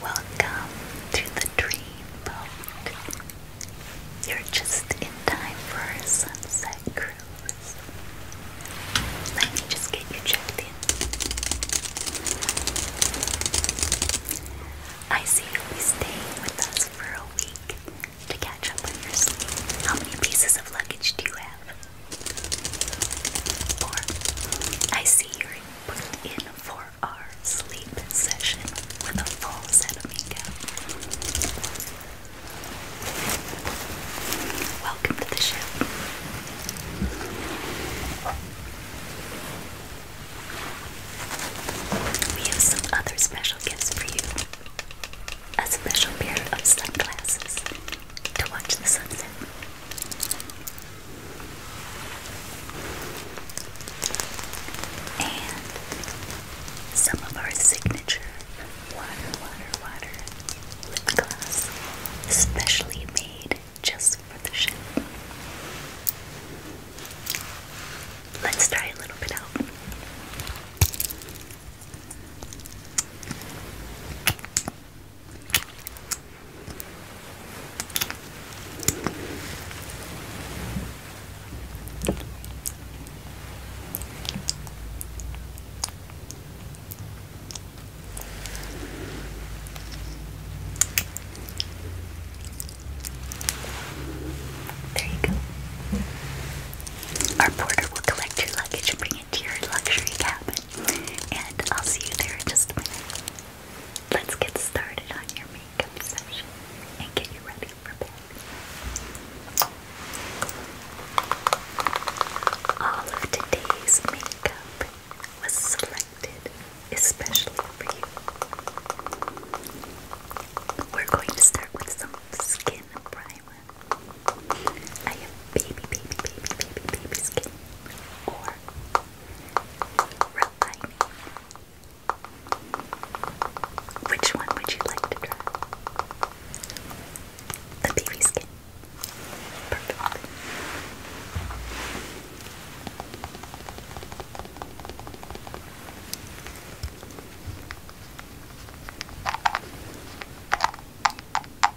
Welcome to the dream boat. You're just in time for our sunset cruise. Let me just get you checked in. I see you'll be staying with us for a week to catch up on your sleep. How many pieces of luggage do you have? Four. I see you're put in for our sleep session with a full set of makeup. Welcome to the show. We have some other special gifts for you. A special pair of sunglasses to watch the sunset. And some of our signature water, water, water lip gloss, specially made just for the ship. Let's try a little bit out. There you go. Our porter will collect your luggage bring it to your luxury cabin. And I'll see you there in just a minute. Let's get started on your makeup session and get you ready for bed. All of today's makeup was selected especially for you. We're going to start with some skin primer. I have baby, baby, baby, baby, baby skin, which one would you like to draw? The BB skin. Perfect.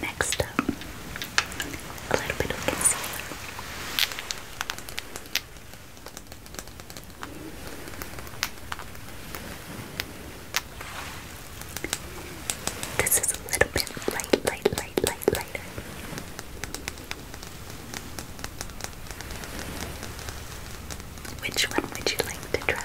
Next up, a little bit of concealer. This is a little bit light, light, light, light, lighter. Which one would you like to try?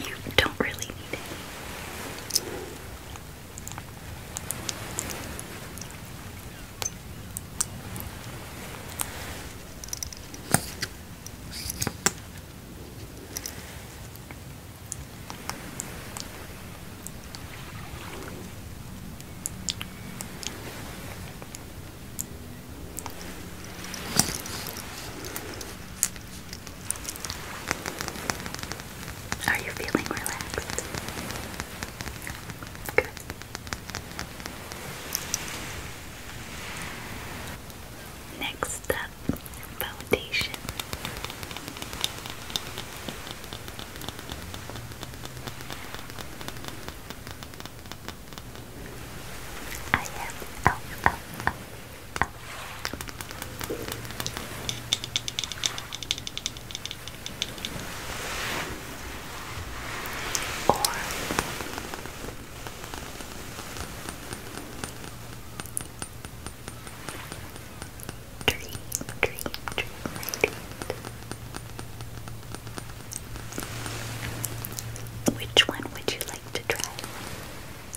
You don't really need it. Are you feeling relaxed? Good. Next up, foundation. I have oh, oh, oh. Or dream, dream, dream, dream. Which one would you like to try?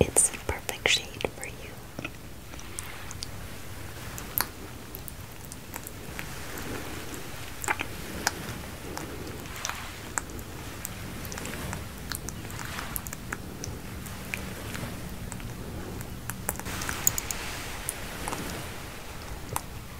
It's the perfect shade for you.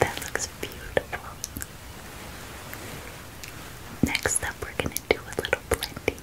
That looks beautiful. Next up, we're going to do a little blending.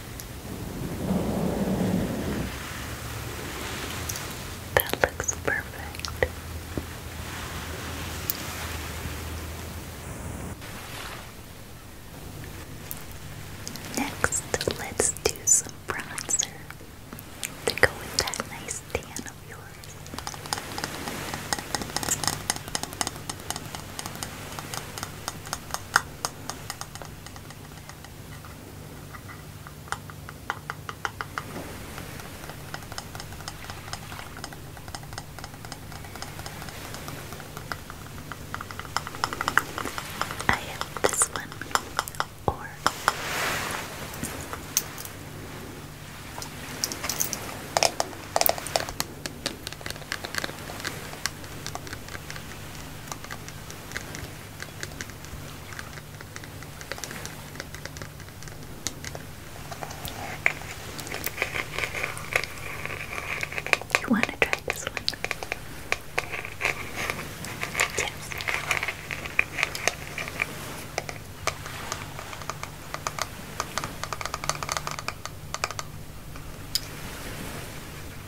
That looks perfect. Next, let's do some bronzer to go with that nice tan of yours. I have this one or you want to try this one? Yes.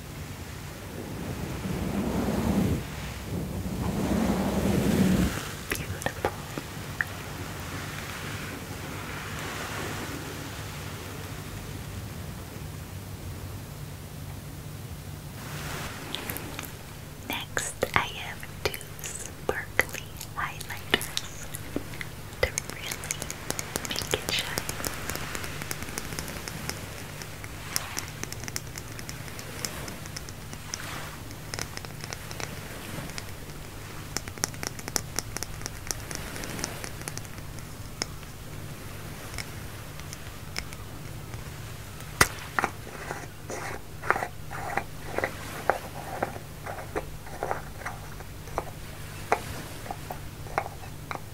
Beautiful. Next, I have two sparkly highlighters to really make it shine.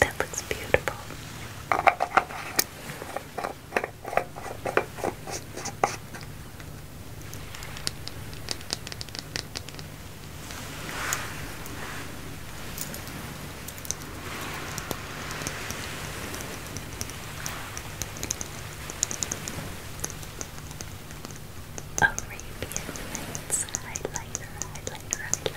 That looks beautiful. Arabian Nights highlighter, highlighter, highlighter.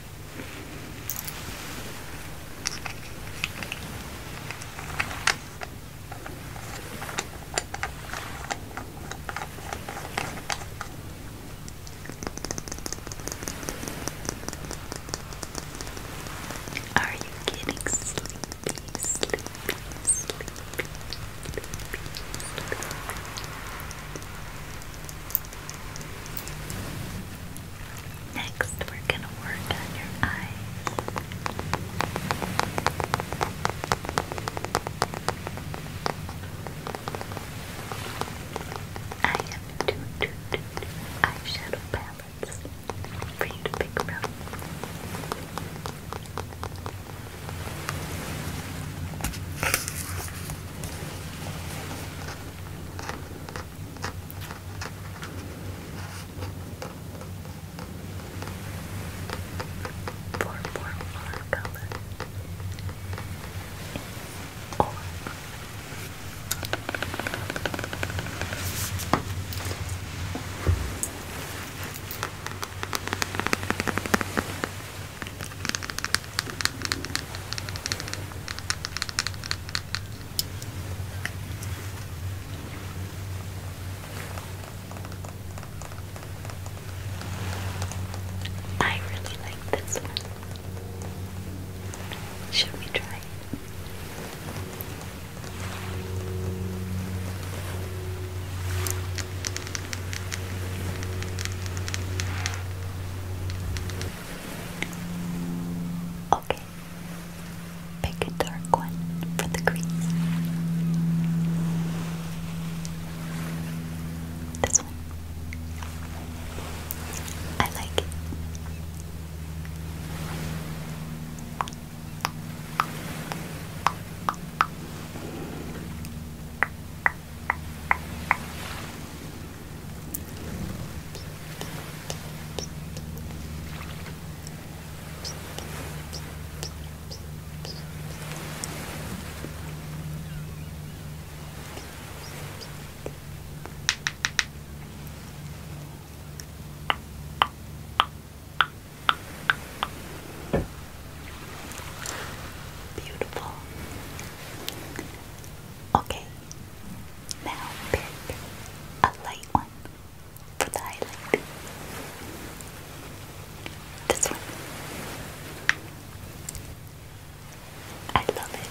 Are you getting sleepy, sleepy, sleepy, sleepy, sleepy? Next, we're going to work on your eyes. I have two, two, two, two eyeshadow palettes for you to pick from. Four, four, four color. Or I really like this one. Should we try Okay. Pick a dark one for the crease. This one. I like it. Beautiful. Okay, now pick a light one for the highlight. This one. I love it.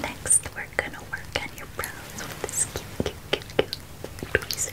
Next, we're gonna work on your brows with this cute, cute, cute, tweezers.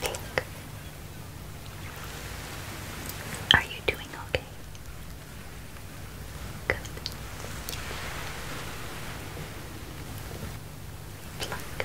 Pink. Are you doing okay? Good. Pluck. Pluck.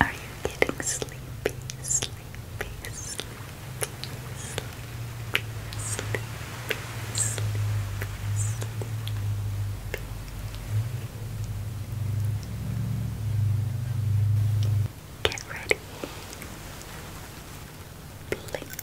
Are you getting sleepy? Sleepy, sleepy, sleepy, sleepy, sleepy, Get ready. blink,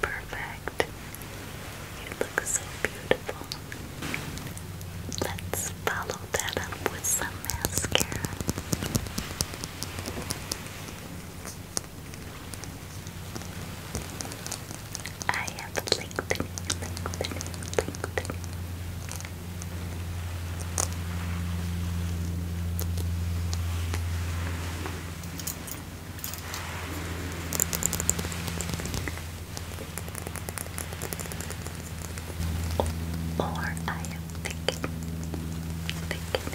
Perfect. You look so beautiful. Let's follow that up with some mascara. I have lengthening, lengthening, lengthening. Or I am thinking, thinking, thinking.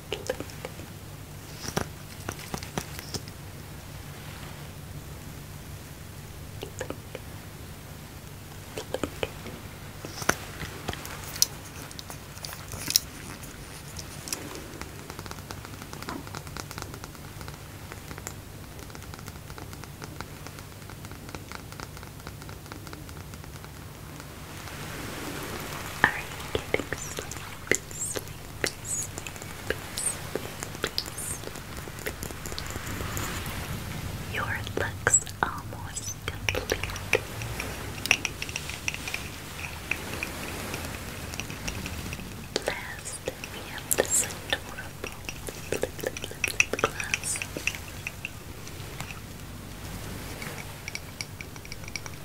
Are you getting sleepy? sleepy, sleepy, sleepy, sleepy. Your looks almost complete. Last, we have this adorable lip, lip, lip, lip gloss.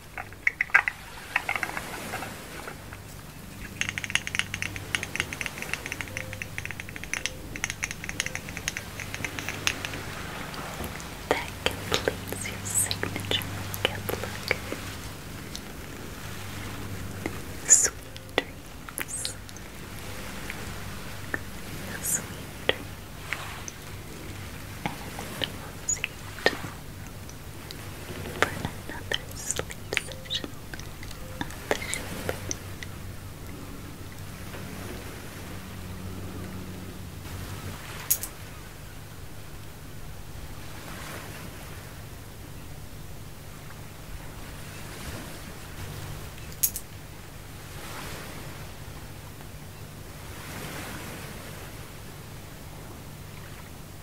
That completes your signature look. Sweet dreams. Sweet dreams for another sleep session